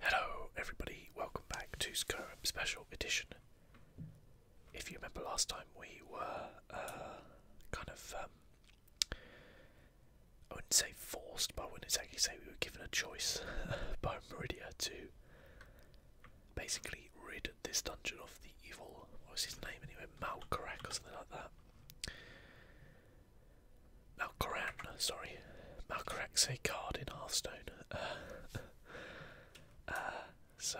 Hello, everybody, welcome back to Skyrim Special Edition. If you remember last time, we were uh, kind of, um, I wouldn't say forced, but I wouldn't exactly say we were given a choice by Meridia to basically rid this dungeon of the evil, what was his name anyway, Malcorak or something like that. Malcoran, sorry, Malcorax a card in Hearthstone. Uh, uh, so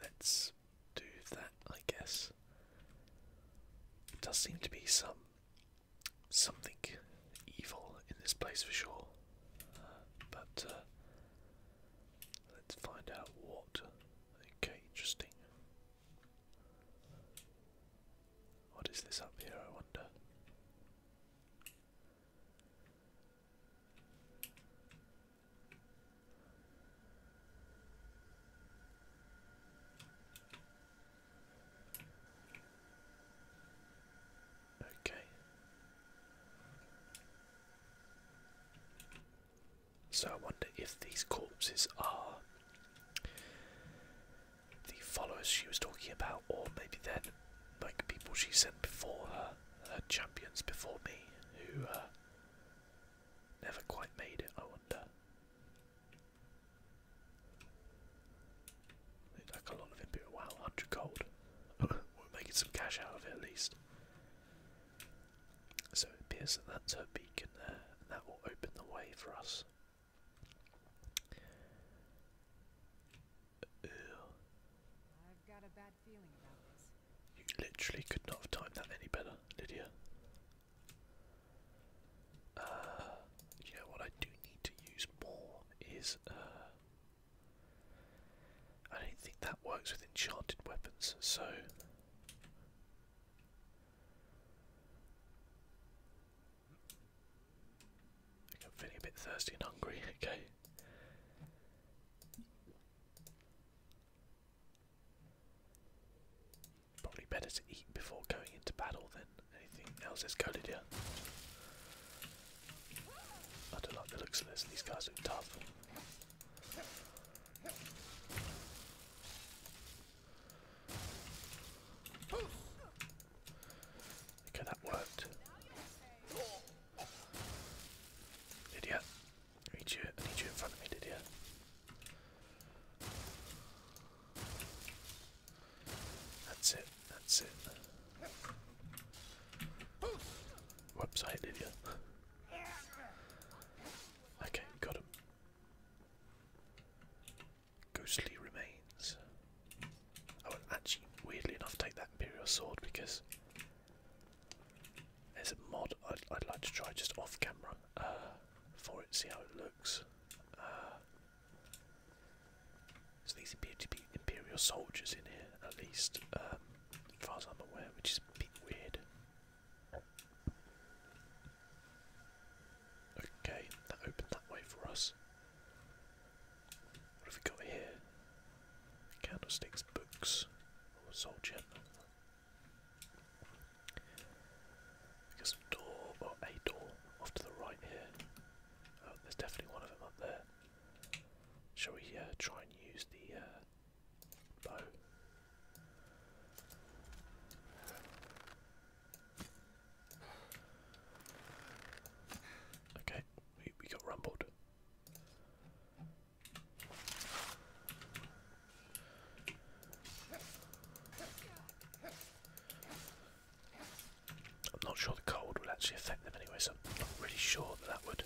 let's do that, I guess. does seem to be some something evil in this place for sure, uh, but let's find out what. Okay, interesting. What is this up here, I wonder? Okay. So I wonder if these corpses are the followers she was talking about, or maybe then like people she sent before her, her champions before me, who uh, never quite made it. I wonder. like a lot of input. Wow, hundred gold. We're making some cash out of it at least. So it appears that that's her beacon there, and that will open the way for us. You literally could not have timed that any better, Lydia. Uh, you know what I do need to use more is uh, I don't think that works with enchanted weapons, so. I'm feeling a bit thirsty and hungry, okay. Probably better to eat before going into battle than anything else is coded here. I don't like the looks of this, these guys look tough. Okay, that worked. Idiot. need you, need you in front of me, Lydia. That's it, that's it. Whoops, I okay, got him ghostly remains. I would actually, weirdly enough, take that Imperial Sword because there's a mod I'd, like to try just off camera uh, for it, see how it looks. Uh, so these appear to be Imperial soldiers in here, at least, um, as far as I'm aware, which is a bit weird. Okay, that opened that way for us. What have we got here? Candlesticks, books, or soldier. We got some door, or a door, off to the right here. Oh, there's definitely one of them up there. Shall we uh, try and use the uh, bow? Okay, we, we got rumbled. I'm not sure the cold will actually affect them anyway, so I'm not really sure that that would.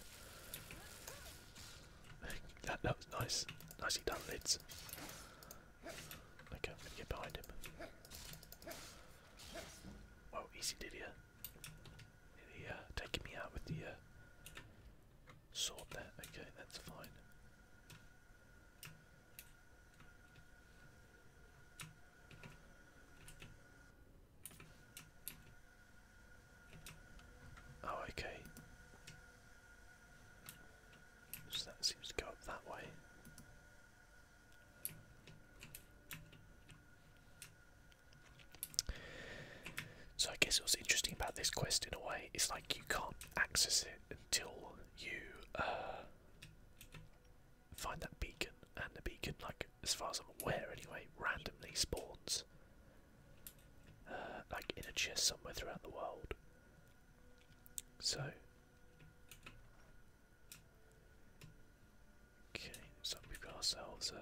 that, that was nice. Nicely done, Lids. I'm going get behind him. Whoa, easy did ya? He uh, uh, taking me out with the uh, sword there. Okay, that's fine. Oh, okay. So that seems to go up that way. So I guess what's interesting about this quest in a way is like you can't access it until you uh, find that beacon, and the beacon, like as far as I'm aware anyway, randomly spawns uh, like in a chest somewhere throughout the world. So Okay, so we've got ourselves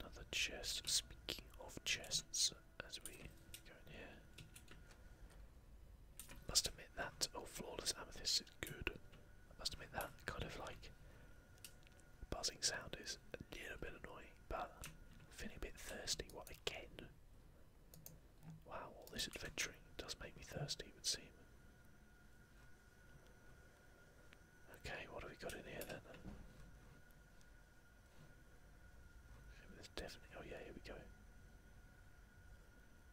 another chest. Speaking of chests, as we go in here, must admit that oh flawless amethyst is good. must admit that kind of like buzzing sound is a little bit annoying, but feeling a bit thirsty. What again? Wow, all this adventuring does make me thirsty, it would seem. Okay, what have we got in here then? there's definitely. Oh, yeah, here we go.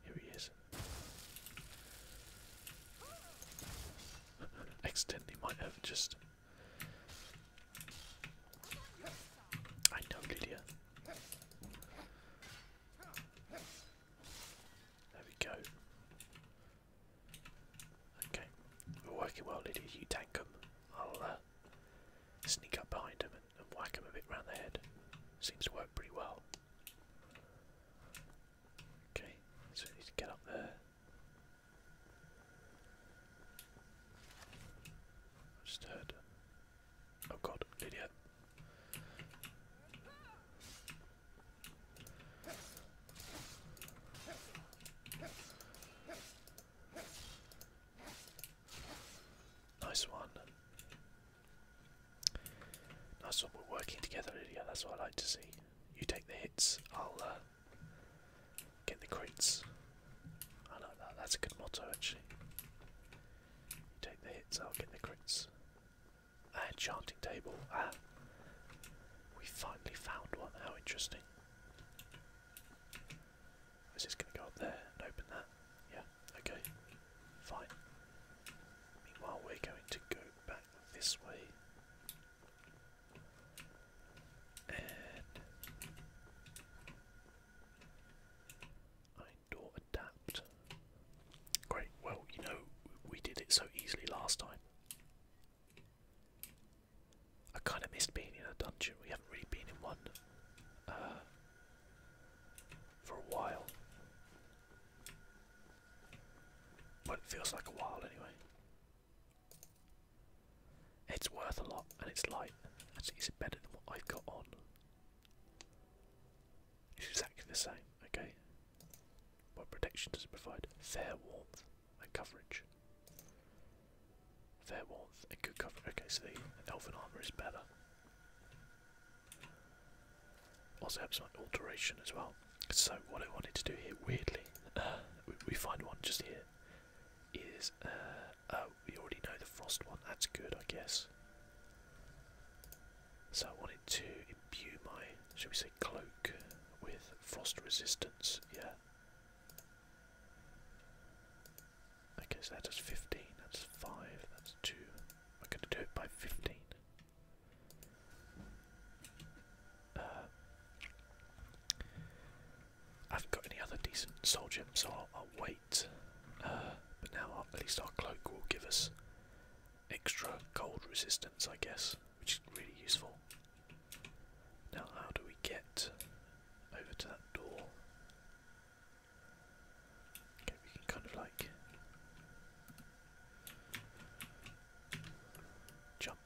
Here he is. Accidentally might have just. I know, Lydia. There we go. Okay, we're working well, Lydia. You tank them. I'll uh, sneak up behind them and, whack them a bit round the head. Seems to work pretty well. Okay, so we need to get up there. just heard Oh god, Lydia. Nice one. Nice one, we're working together, Lydia, that's what I like to see. You take the hits, I'll uh, get the crits. I like that, that's a good motto actually take the hits, I'll get the crits. Ah, enchanting table. Ah. We finally found one. How interesting. Is just going to go up there and open that? Yeah, okay. Fine. Meanwhile, we're going to go back this way. And. I or adapt. Great, well, you know, we did it so easily last time. I kind of missed being in a dungeon, we haven't really been in one uh, for a while. Well, it feels like a while anyway. It's worth a lot and it's light. it's better than what I've got on. It's exactly the same, okay? What protection does it provide? Fair warmth and coverage. Fair warmth and good coverage. Okay, so the elven armour is better. Also helps some alteration as well. So what I wanted to do here, weirdly, uh, we, find one just here, is, uh, oh, we already know the frost one, that's good I guess. So I wanted to imbue my, shall we say, cloak with frost resistance, yeah. I guess that does 15, that's 5, that's 2. I'm going to do it by 15. Uh, I haven't got any other decent soldier, so I'll, uh, but now at least our cloak will give us extra cold resistance, I guess, which is really useful. Now, how do we get over to that door? we can kind of like jump,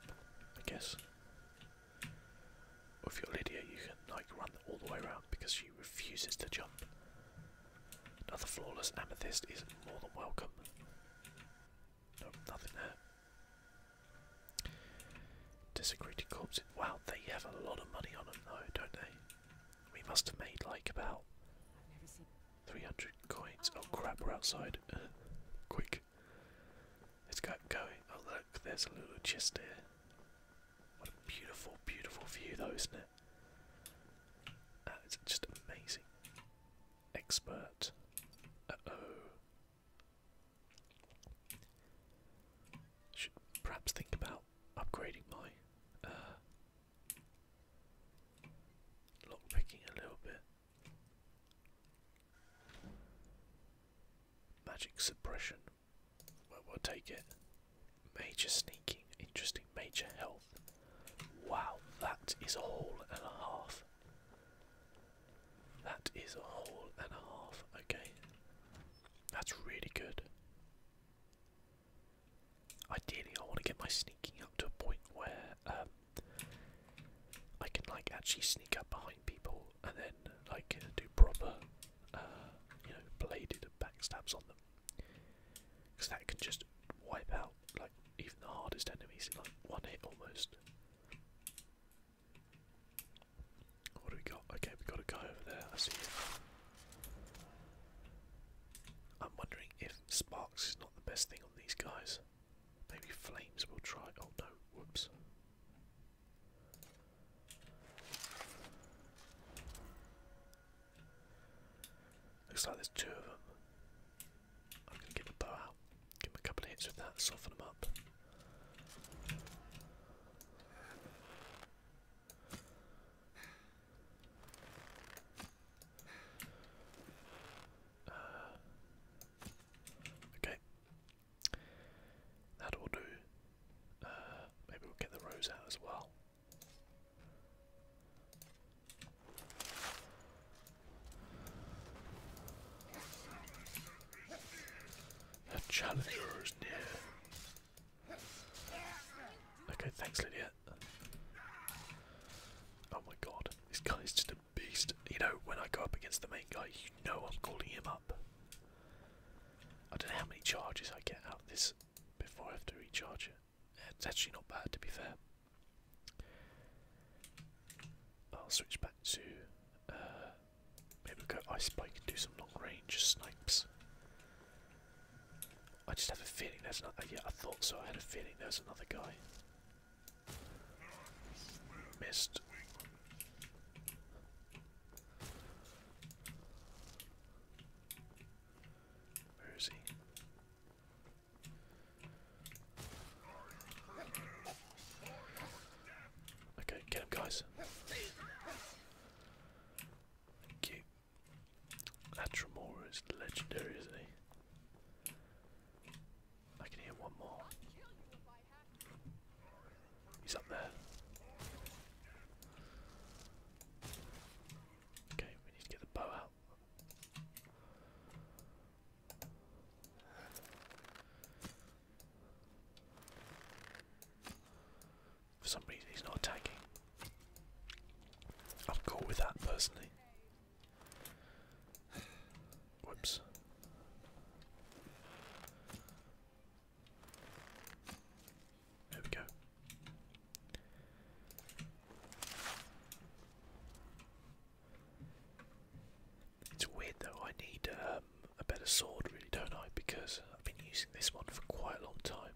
I guess. Or if you're Lydia, you can like run all the way around because she refuses to jump. Another flawless amethyst is more than welcome. Nope, nothing there. Desecrated corpses. Wow, they have a lot of money on them though, don't they? We must have made like about 300 coins. Oh crap, we're outside. Quick. Let's go going. Oh look, there's a little chest there. What a beautiful, beautiful view though, isn't it? That uh, is just amazing. Expert. Uh oh. Should perhaps think about upgrading my uh, lock picking a little bit. Magic suppression. Well, we'll take it. Major sneaking, interesting. Major health. Wow, that is a haul and a half. That is a haul and a half. Okay, that's really good. Ideally, I want to get my sneaking up to a point where um, I can like actually sneak up behind people and then like do proper, uh, you know, bladed backstabs on them. Because that can just wipe out like even the hardest enemies in like one hit almost. What do we got? Okay, we got a guy over there. I see I'm wondering if sparks not the best thing on these guys. Maybe flames will try. Oh no! Whoops. Looks like there's two of them. I'm going to give the bow out, give them a couple of hits with that, soften them up. Uh, okay, that'll do. Uh, maybe we'll get the rose out as well. A challenger is near. Okay, thanks, Lydia. Oh my god, this guy is just a beast. You know, when I go up against the main guy, you know I'm calling him up. I don't know how many charges I get out of this before I have to recharge it. It's actually not bad, to be fair. I'll switch back to. Uh, maybe go Ice Spike and do some long range snipes. I just have a feeling there's another. Yeah, I thought so. I had a feeling there was another guy. Missed. Where is he? Okay, get him, guys. Thank you. Atramora is legendary, isn't he? I can hear one more. He's up there. Okay, we need to get the bow out. For some reason, he's not attacking. I'm cool with that personally. Whoops. There we go. It's weird though, I need um, a better sword really, don't I? Because I've been using this one for quite a long time.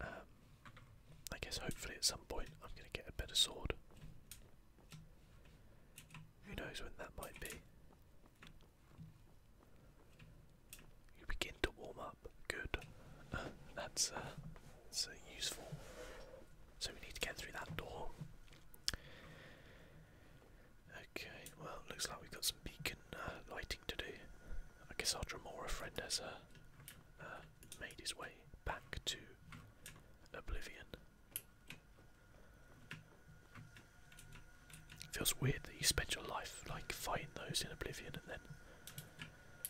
Um, I guess hopefully at some point I'm going to get a better sword. Who knows when that might be? You begin to warm up. Good. Uh, that's, uh, uh, useful. So we need to get through that door. Okay, well, looks like we've got some beacon lighting to do. I guess our Dramora friend has made his way back to Oblivion. Feels weird that you spend your life like fighting those in Oblivion and then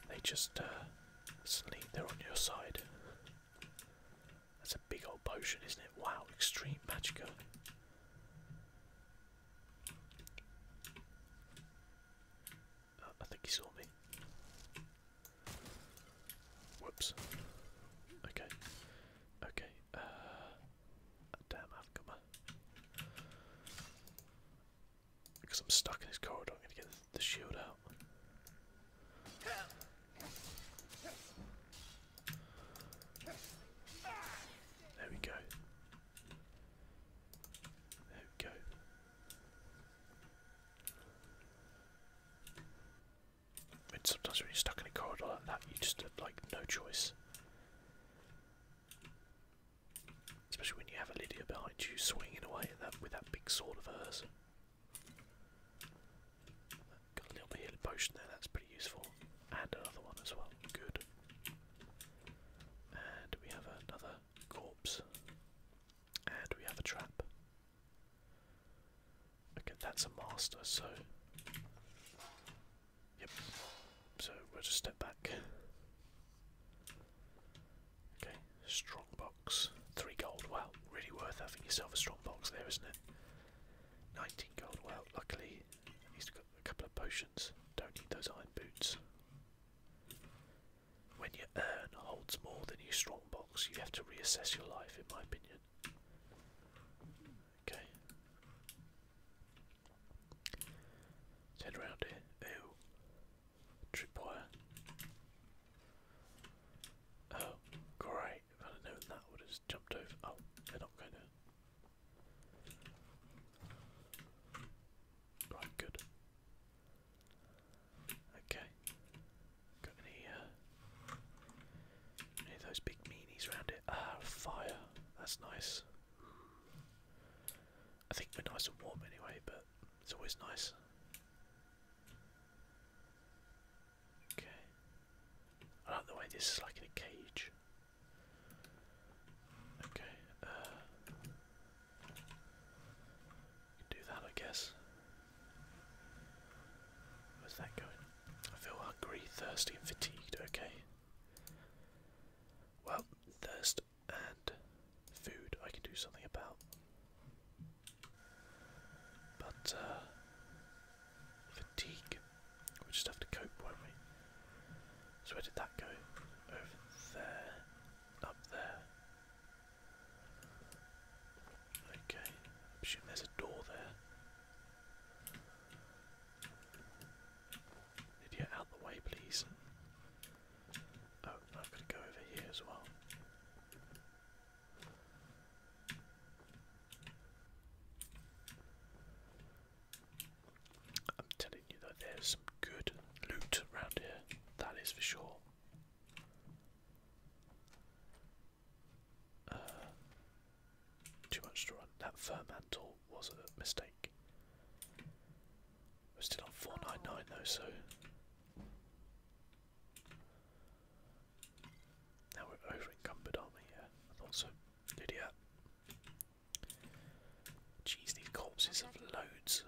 they just uh, sleep. suddenly they're on your side. That's a big old potion, isn't it? Wow, extreme magic! Oh, I think he saw me. Whoops. Okay. Okay. Uh, Damn Avcomer. Because I'm stuck in this corridor, I'm gonna get the shield out. There we go. There we go. I sometimes when you're stuck in a corridor like that, you just have like no choice. Especially when you have a Lydia behind you swinging away with that big sword of hers. Got a little potion there, that's pretty useful. And another one as well, good. And we have another corpse. And we have a trap. Okay, that's a master, so Yep. So we'll just step back. Okay, strong box. Three gold. Well, really worth having yourself a strong box there, isn't it? 19 gold. Well, luckily he's got a couple of potions. Don't need those iron boots. When your urn holds more than your strong box, you have to reassess your life, in my opinion. Okay. Let's here. Ew. Tripwire. Oh, great. I'd have known that, would have jumped over. Oh, they're not going to. Right, good. Okay. Got any, uh, any those big meanies around it? Ah, fire. That's nice. I think we're nice and warm anyway, but it's always nice. Okay. I like the way this is like in a cage. Okay, uh do that I guess. Where's that going? I feel hungry, thirsty and fatigued, okay. Well, thirst and food I can do something about. But, uh, fatigue. we just have to cope, won't we? So, where did that go? Over there, up there. Okay, I assume there's a door there. Idiot, out the way, please. Oh, I've got to go over here as well. I'm telling you that there's good loot around here, that is for sure. Uh, too much to run. That Fermantle was a mistake. We're still on 499 though, so. Now we're over encumbered, Yeah, I thought so. Lydia. Jeez, these corpses have loads.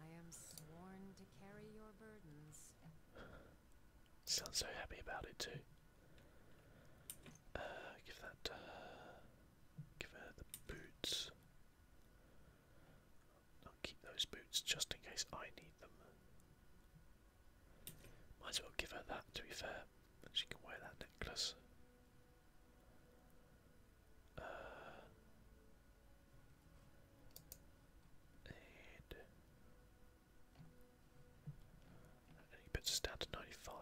I am sworn to carry your burdens. Sounds so happy about it too. Uh, give that uh, Give her the boots. I'll keep those boots just in case I need them. Might as well give her that to be fair. She can wear that necklace. Uh, and he puts us 95.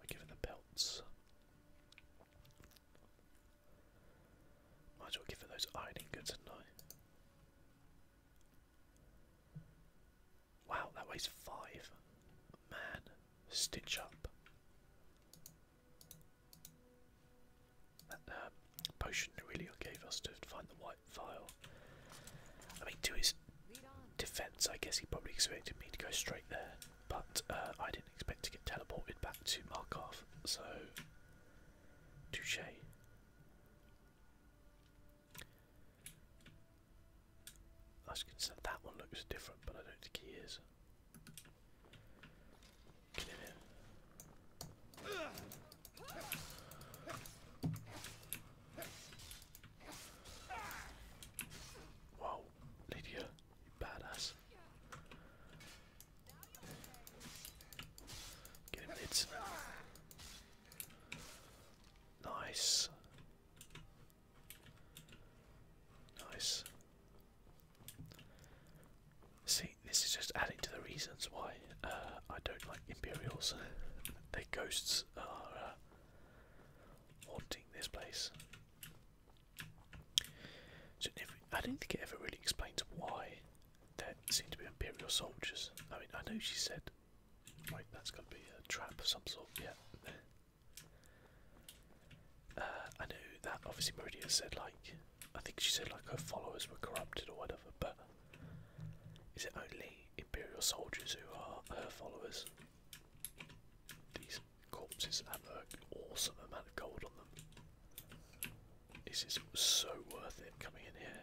We give it the belts. Might as well give it those ironing goods at Wow, that weighs five. Man, stitch up. That uh, potion really gave us to find the white vial. I mean, to his defence. I guess he probably expected me to go straight there, but uh, I didn't expect to get teleported back to Markov, so touche. I was going to that one looks different, but I don't think he is. Get in here. Wow, Lydia, badass. Get him hits. Nice. Nice. See, this is just adding to the reasons why uh, I don't like Imperials. Their ghosts are uh, haunting this place. So I don't think it ever really explains why there seem to be Imperial soldiers. I mean, I know she said, "Wait, that's going to be a trap of some sort." Yeah. Uh, I know that obviously Meridia said like, I think she said like her followers were corrupted or whatever, but is it only Imperial soldiers who are her followers? These corpses have an awesome amount of gold on them. This is so worth it coming in here.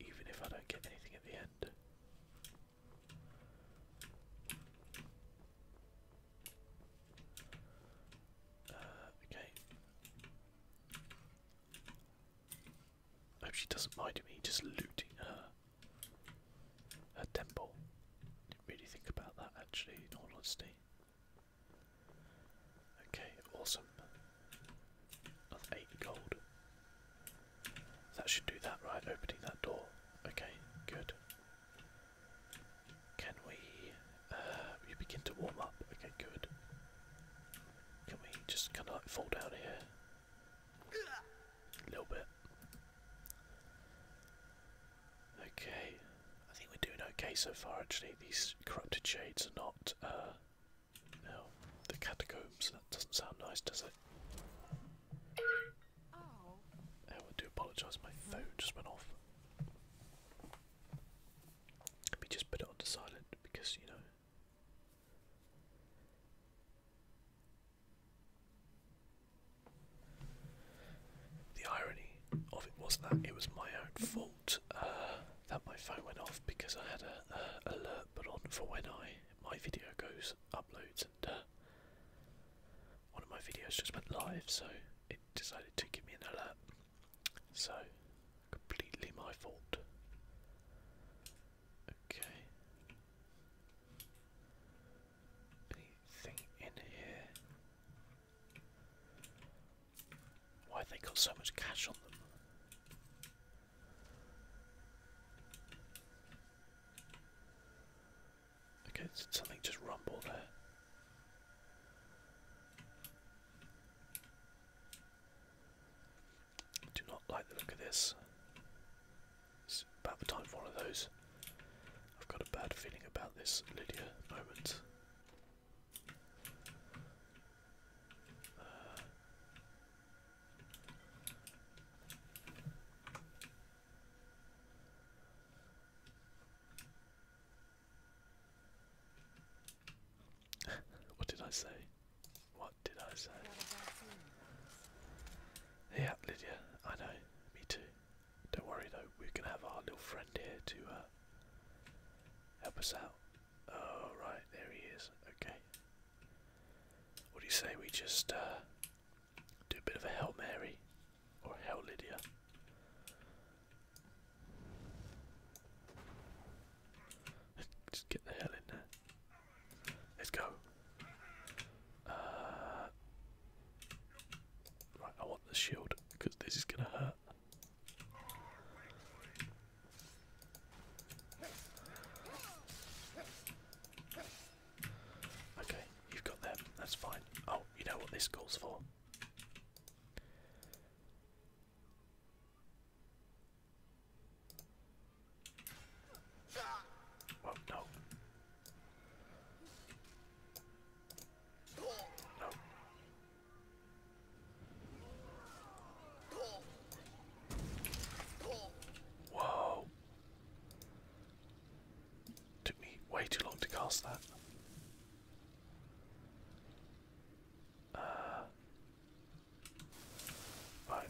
Even if I don't get anything at the end. Uh, okay. I hope she doesn't mind me just looting her. A temple. Didn't really think about that actually, in all honesty. Okay, awesome. That's gold. That should do that, right? Opening that door. Okay, good. Can we. Uh, we begin to warm up? Okay, good. Can we just kind of like fall down here? A little bit. Okay, I think we're doing okay so far actually. These corrupted shades are not, uh, no, the catacombs. That doesn't sound nice, does it? I oh. oh, I do apologise, my phone just went off. Let me just put it on silent because, you know. The irony of it was that it was my own fault uh, that my phone went off because I had a, alert put on for when I my video goes uploads and uh, one of my videos just went live, so it decided to give me an alert. So completely my fault. Okay. Anything in here? Why have they got so much cash on them? Okay, something just rumbled there. do not like the look of this. It's about the time for one of those. I've got a bad feeling about this Lydia moment. Uh. what did I say? What? did I say? Yeah, Lydia, I know. Me too. Don't worry though, we can have our little friend here to uh, help us out. Oh right, there he is. Okay. What do you say we just uh, do a bit of a Hail Mary or Hail Lydia? just get the hell in there. Let's go. Uh, right, I want the shield because this is gonna hurt. Okay, you've got them. That's fine. Oh, you know what this calls for. Well, oh, no. Whoa. Took me way too long to cast that. Uh right.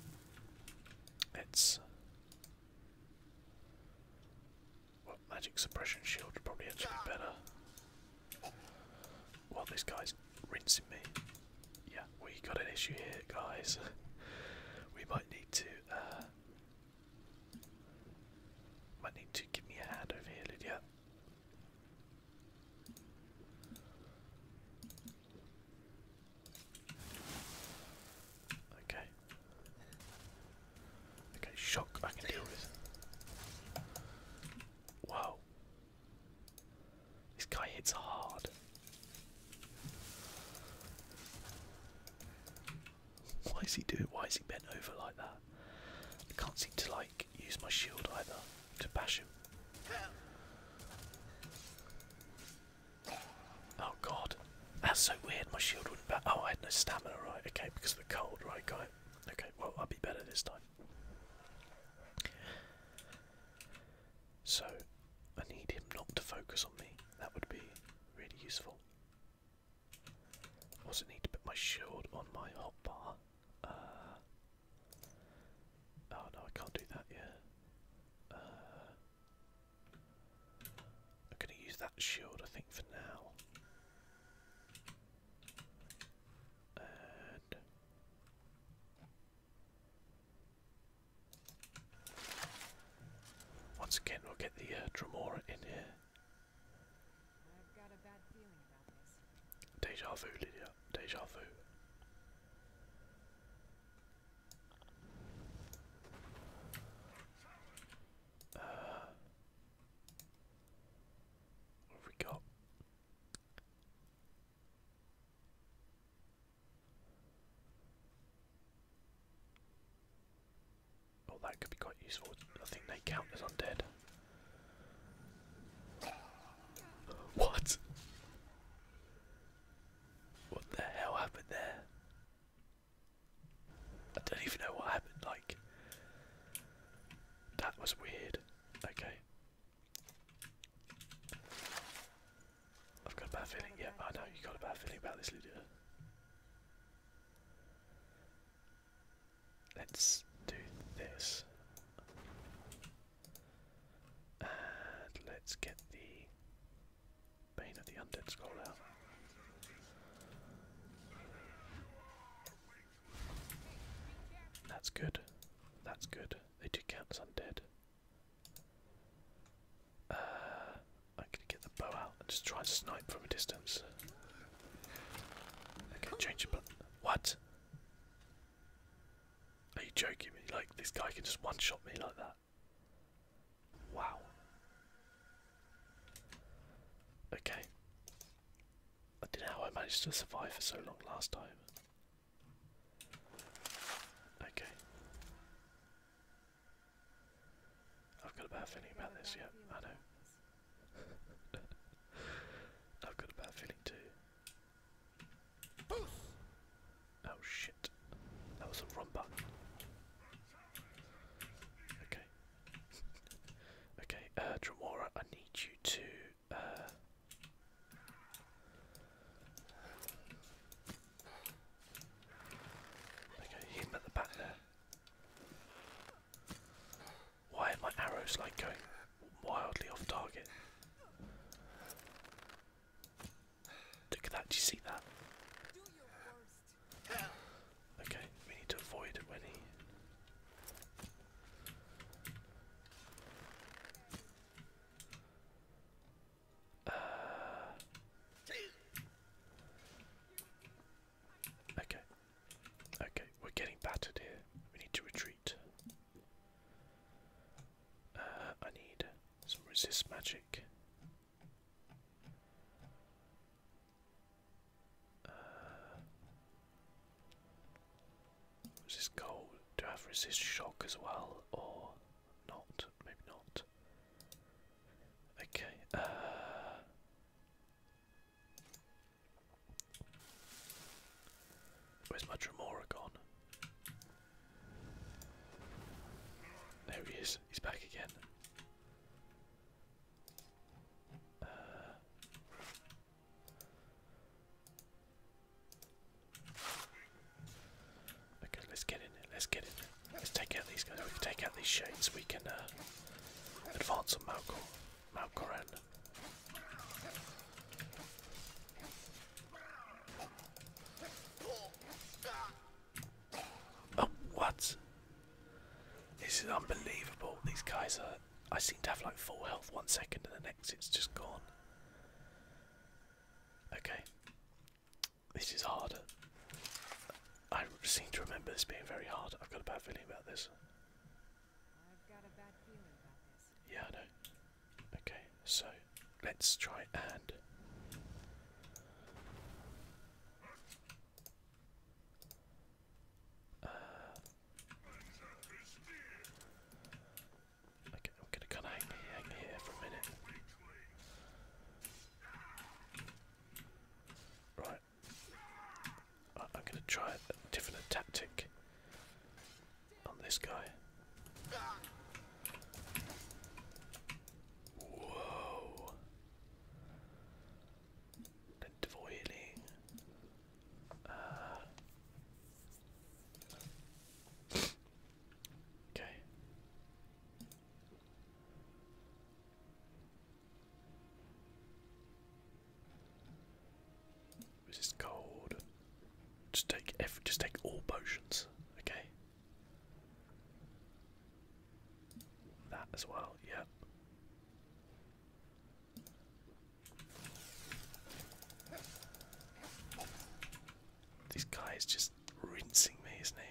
Well, magic suppression shield would probably actually be better. Well, this guy's rinsing me. Yeah, we got an issue here, guys. we might need to. Uh, might need to give me a hand over here, Lydia. Okay. Okay, shock I can deal with. Wow. This guy hits hard. Why is he doing why is he bent over like that? I can't seem to like use my shield either to bash him. Oh god. That's so weird, my shield wouldn't back. Oh, I had no stamina, right? Okay, because of the cold, right? guy. Okay, well, I'll be better this time. So, I need him not to focus on me. That would be really useful. Also, need to put my shield on my hotbar. Uh, oh no, I can't do that yet. Uh, I'm going to use that shield, I think, for now. And once again, we'll get the uh, in here. Deja vu, Lydia. Deja vu what have we got? Oh, that could be quite useful. I think they count as undead. What? What the hell happened there? I don't even know what happened, like that was weird. Okay. I've got a bad feeling, yeah, I know you got a bad feeling about this Lydia. Let's do this. And let's get the Bane of the Undead scroll out. That's good. That's good. They do count as undead. Uh, I'm get the bow out and just try and snipe from a distance. Okay, change your What? Are you joking me? Like, this guy can just one shot me like that. Wow. Okay. I don't know how I managed to survive for so long last time. Okay. I've got a bad feeling about this, yeah, I know. I've got a bad feeling too. Oh shit. That was a rumble. Okay. okay, uh Dramora, I need you to uh Okay, him at the back there. Why are my arrows like going wildly off target? Look at that, do you see that? Okay, we need to avoid when he. Uh, okay, okay, we're getting battered here. We need to retreat. Uh, I need some resist magic. Uh, what's this gold? Do I have resist shock as well, or not? Maybe not. Okay. Uh, where's my there he is. He's back again. Uh, okay, let's get in Let's get in Let's take out these guys. We can take out these shades. We can uh, advance on Malcor. Malcoran. Oh, what? This is unbelievable. These guys are. I seem to have like full health one second and the next it's just gone. Okay. This is harder. I seem to remember this being very hard. I've got a bad feeling about this. I've got a bad feeling Yeah, I know. Okay, so let's try and uh, okay, I'm gonna kinda hang here, for a minute. right I'm gonna try a different tactic on this guy. Whoa. The Dvoiling. Okay. This is cold. Just take every, just take all potions, okay? That as well, yep. This guy is just rinsing me, isn't he?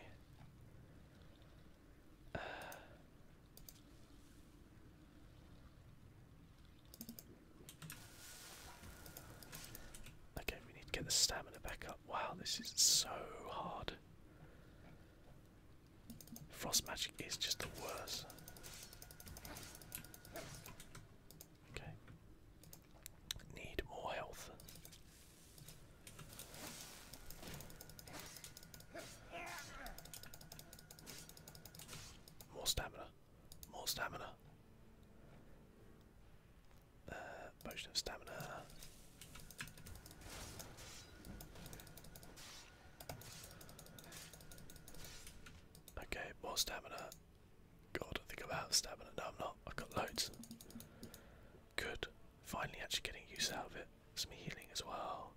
Uh. okay, we need to get the stamina back up. Wow, this is so hard. Frost magic is just the worst. Okay. Need more health. More stamina. More stamina. Uh, of stamina. Okay, more stamina. God, I think i stamina. No, I'm not. I've got loads. Good. Finally, actually getting use out of it. Some healing as well.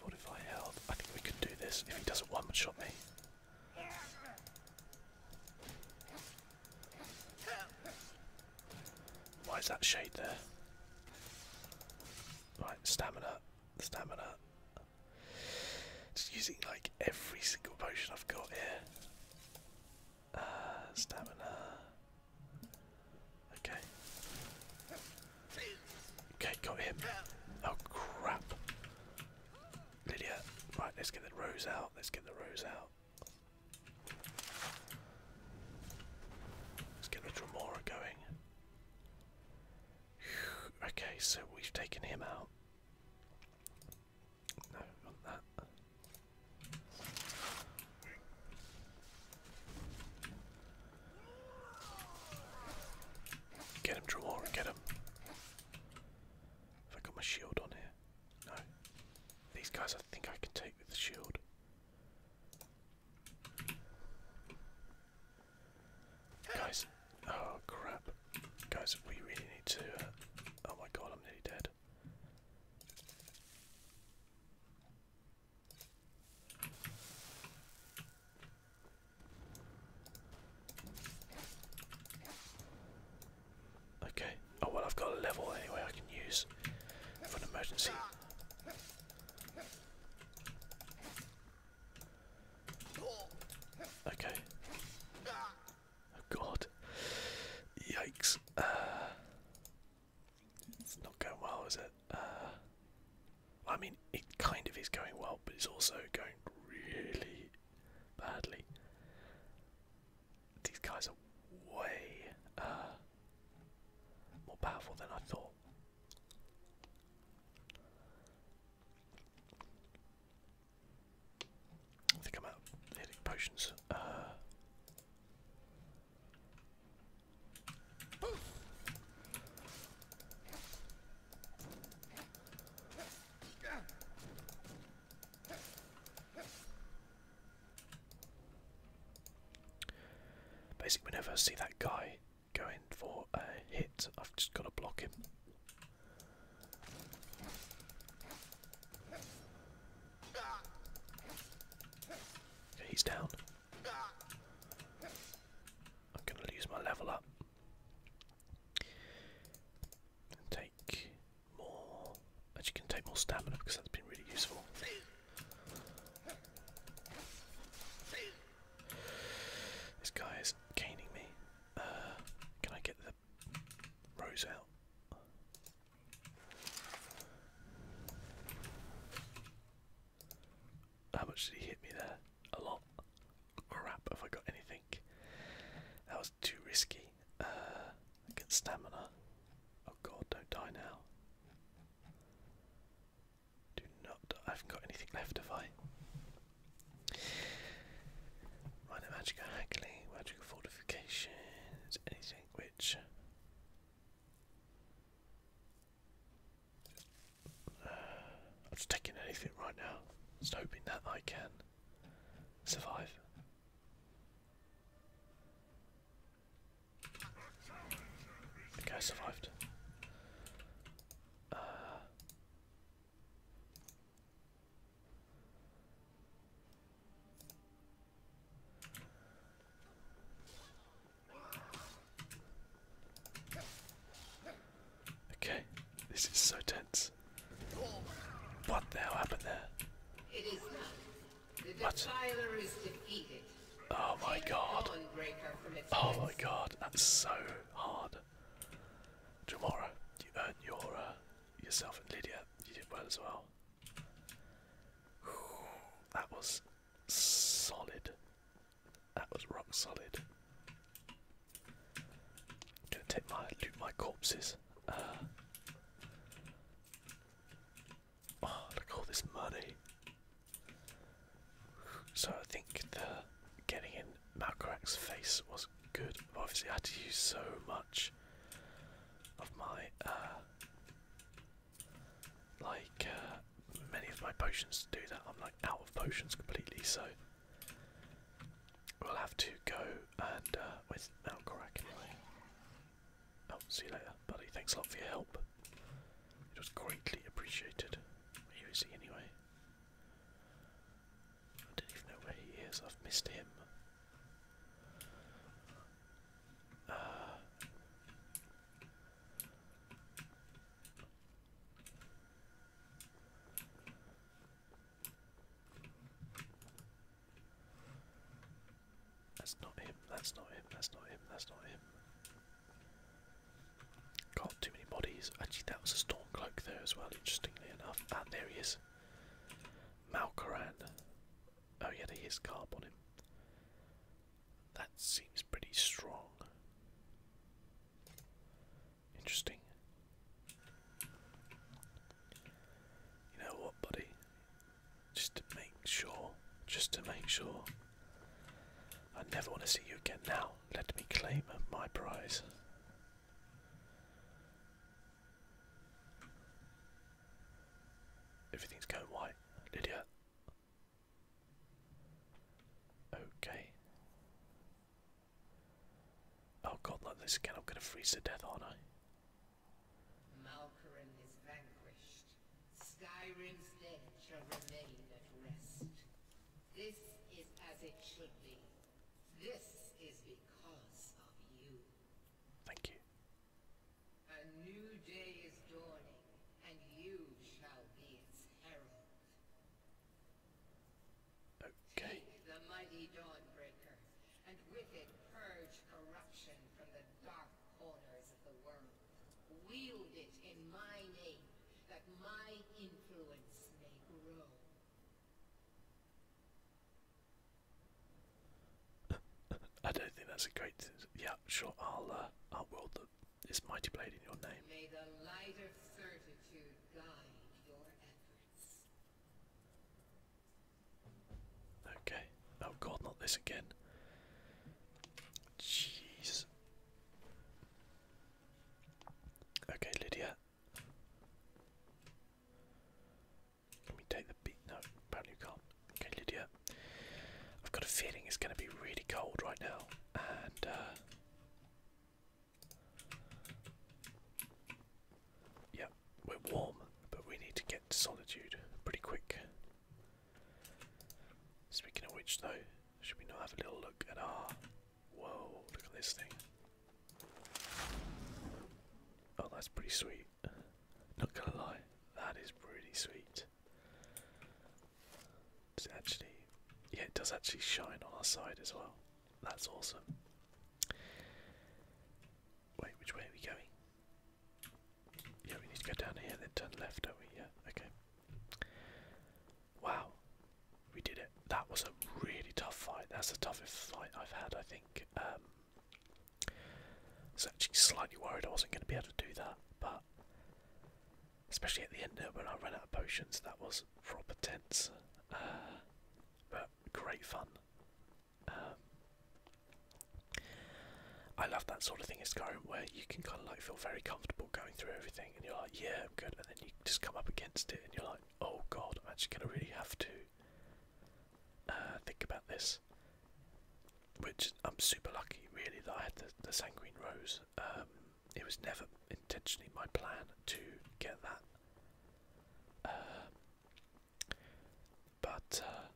Fortify health. I think we could do this if he doesn't one shot me. Why is that shade there? Right, stamina, stamina. Just using like every single potion I've got here. Uh, stamina. Okay. Okay, got him. Oh crap. Lydia. Right, let's get the rose out. Let's get the rose out. Let's get the Dromora going. Okay, so we've taken him out. No, not that. Get him, Dromora, get him. Have I got my shield on here? No. These guys I think I can take with the shield. Guys, oh crap. Guys, we really need to. Uh, oh my god, I'm nearly dead. Okay. Oh well, I've got a level anyway I can use for an emergency. Okay. Oh god. Yikes. Uh, it's not going well, is it? Uh, I mean, it kind of is going well, but it's also going really badly. These guys are way uh, more powerful than I thought. I think I'm out healing potions. Uh, Basically, whenever I see that guy going for a hit, I've just got to block him. he's down. I'm going to lose my level up take take more. Actually, can take more stamina because that's been really useful. This guy is caning me. Uh, can I get the rose out? How much did he hit me there? A lot. Crap, have I got anything? That was too risky. Uh, get stamina. Oh god, don't die now. Do not I haven't got anything left, have I? Minor right, magical magical fortification, anything which. Uh, I'm just taking anything right now. Just hoping that I can survive. Okay, I survived. Uh, okay, this is so tense. What the hell happened there? Oh my god. Oh my god, that's so hard. Jamora, you earned your uh, yourself and Lydia. You did well as well. That was solid. That was rock solid. gonna take my loot my corpses. Uh, Oh, look at all this money. So I think the getting in Malcorak's face was good. Obviously, I had to use so much of my, uh, like, uh, many of my potions to do that. I'm like out of potions completely, so we'll have to go and uh, with Malcorak Oh, see you later, buddy. Thanks a lot for your help. It was greatly appreciated. Where is he anyway? I don't even know where he is. I've missed him. Uh, that's not him, that's not him, that's not him, that's not him. Got too many bodies. Actually, that was a Stormcloak there as well, interestingly enough. Ah, there he is. Malcoran. Oh, yeah, he his carp on him. That seems pretty strong. Interesting. You know what, buddy? Just to make sure. Just to make sure. I never want to see you again now. Let me claim my prize. Everything's going white, Lydia. Okay. Oh god, like this again, I'm gonna freeze to death, are Malkarin is vanquished. Skyrim's dead shall remain at rest. This is as it should be. This is because of you. Thank you. A new day is dawning, and you shall be its herald. Okay. Take the mighty Dawnbreaker and with it purge corruption from the dark corners of the world. Wield it in my name, that my influence may grow. I don't think that's a great. Yeah, sure. I'll uh, I'll wield this mighty blade in your name. Okay. Oh god, not this again. Jeez. Okay, Lydia. Can we take the beat? No, apparently you can't. Okay, Lydia. I've got a feeling it's going to be really cold right now, and uh, yeah, we're warm, but we need to get to solitude pretty quick. Speaking of which, though, should we not have a little look at our. Whoa, look at this thing. Oh, that's pretty sweet. Not gonna lie, that is pretty sweet. Does actually. Yeah, it does actually shine on our side as well. That's awesome. Wait, which way are we going? Yeah, we need to go down here then turn left, don't we? Yeah, okay. Wow, we did it. That was a really tough fight. That's the toughest fight I've had, I think. Um, I was actually slightly worried I wasn't going to be able to do that, but especially at the end there when I ran out of potions, that was proper tense. Uh, but great fun. Um, I love that sort of thing in current, where you can kind of like feel very comfortable going through everything and you're like, yeah, I'm good. And then you just come up against it and you're like, oh god, I'm actually going to really have to uh, think about this. Which I'm super lucky, really, that I had the, the Sanguine Rose. Um, it was never intentionally my plan to get that. Uh, but uh,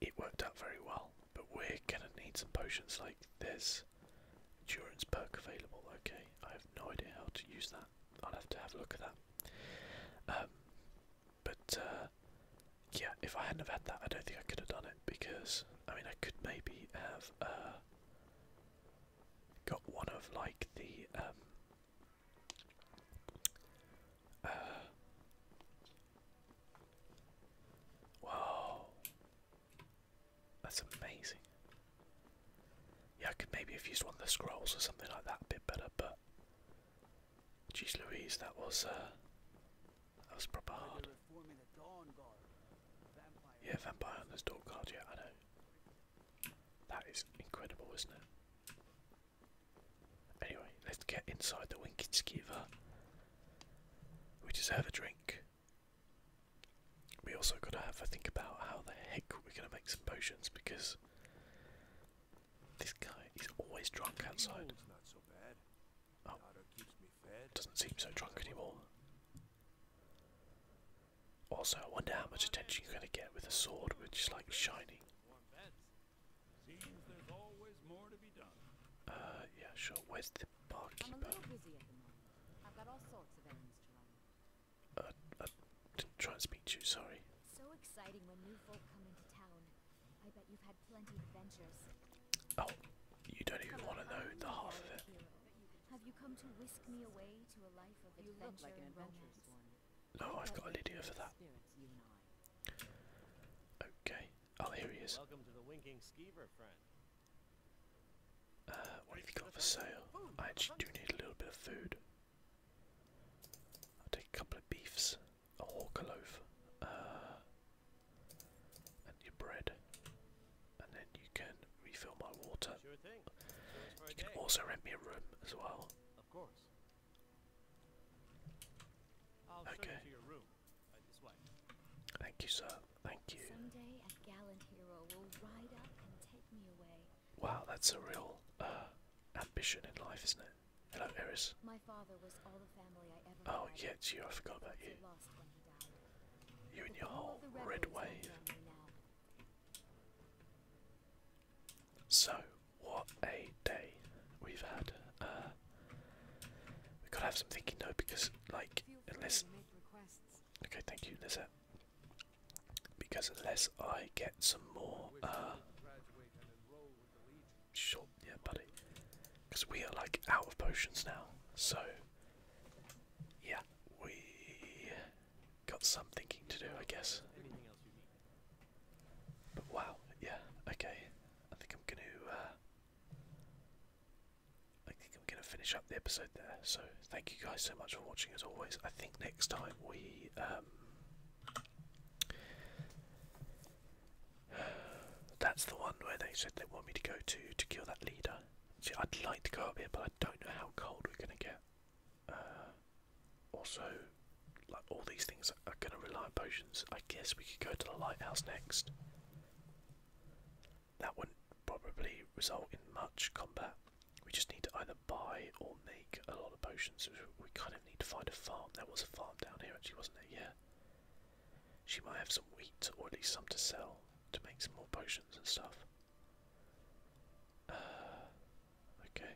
it worked out very well. But we're gonna need some potions. Like this, endurance perk available. Okay, I have no idea how to use that. I'll have to have a look at that. Um, but uh, yeah, if I hadn't have had that, I don't think I could have done it because I mean I could maybe have uh, got one of like the um, uh, wow, that's amazing. Yeah, I could maybe have used one of the scrolls or something like that a bit better, but jeez Louise, that was uh, that was proper hard. Yeah, vampire on this door guard. Yeah, I know. That is incredible, isn't it? Anyway, let's get inside the Winkitskiva. We deserve a drink. We also gotta have a think about how the heck we're gonna make some potions because this guy is always drunk outside. Oh, doesn't seem so drunk anymore. Also, I wonder how much attention you're gonna get with a sword which is like shiny. Uh, yeah, sure. Where's the barkeeper? I'm a little busy at the moment. I've got all sorts of errands to run. I uh, uh, didn't try and speak to you, sorry. So exciting when new folk come into town. I bet you've had plenty of adventures. Oh, you don't even want to know the half of it. Have you come to whisk me away to a life of adventure look like no, I've got a Lydia for that. Okay. Oh, here he is. Uh, what have you got for sale? I actually do need a little bit of food. I'll take a couple of beefs, a hawker loaf, uh, and your bread. And then you can refill my water. You can also rent me a room as well okay. Uh, Thank you, sir. Thank you. Someday a gallant hero will ride up and take me away. Wow, that's a real uh, ambition in life, isn't it? Hello, Eris. Oh, had. yeah, it's you. I forgot about you. You and your whole red wave. So, what a day we've had. Uh, we gotta have some thinking though, because, like, unless. Okay, thank you, Lizette. Because unless I get some more. Uh, short, yeah, buddy. Because we are, like, out of potions now. So, yeah, we got some thinking to do, I guess. But wow, yeah, okay. I think I'm gonna uh, I think I'm gonna finish up the episode there. So thank you guys so much for watching as always. I think next time we um, that's the one where they said they want me to go to to kill that leader. See, I'd like to go up here, but I don't know how cold we're gonna get. Uh, also, like all these things are going to rely on potions. I guess we could go to the lighthouse next. That wouldn't probably result in much combat. We just need to either buy or make a lot of potions. We kind of need to find a farm. There was a farm down here, actually, wasn't there? Yeah. She might have some wheat, or at least some to sell, to make some more potions and stuff. Uh, okay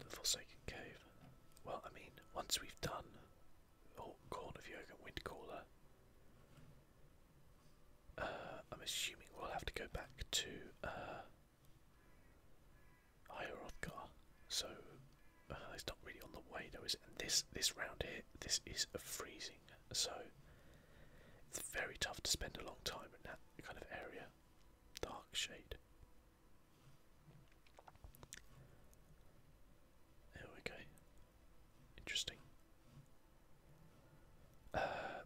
the Forsaken Cave. Well, I mean, once we've done all Corn of Yoga and Windcaller, uh, I'm assuming we'll have to go back to uh, Hierothgar. So uh, it's not really on the way, though, is it? And this this round here, this is a freezing, so it's very tough to spend a long time in that kind of area dark shade. There we go. Interesting. Uh,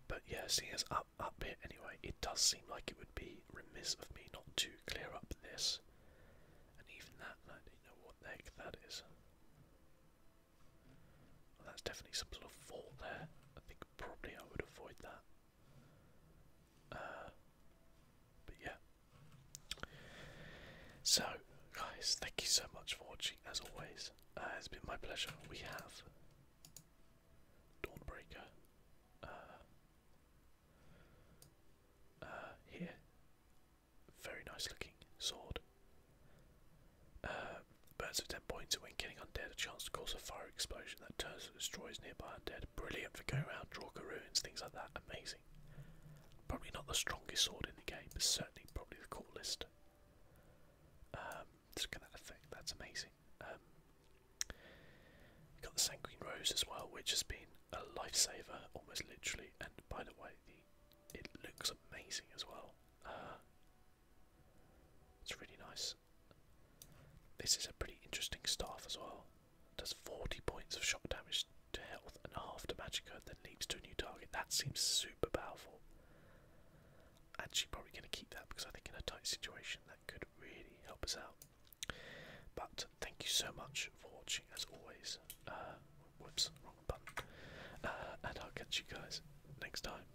but yeah, seeing as up up here anyway, it does seem like it would be remiss of me not to clear up this. And even that, and I don't know what the heck that is. Well, that's definitely some sort of fault there. I think probably I would avoid that. Uh, but yeah. So, guys, thank you so much for watching, as always. Uh, it's been my pleasure. We have Dawnbreaker uh, here. Very nice looking sword. Birds of 10 points when killing undead, a chance to cause a fire explosion that turns and destroys nearby undead. Brilliant for going round, draw ruins, things like that. Amazing. Probably not the strongest sword in the game, but certainly probably the coolest. Um, look at that effect, that's amazing. Um, got the Sanguine Rose as well, which has been a lifesaver, almost literally. And by the way, the, it looks amazing as well. Uh, it's really nice. This is a pretty interesting staff as well. Does 40 points of shock damage to health and half to magic and then leaps to a new target. That seems super powerful. Actually, probably going to keep that because I think in a tight situation that could really help us out. But thank you so much for watching as always. Uh, whoops, wrong button. Uh, and I'll catch you guys next time.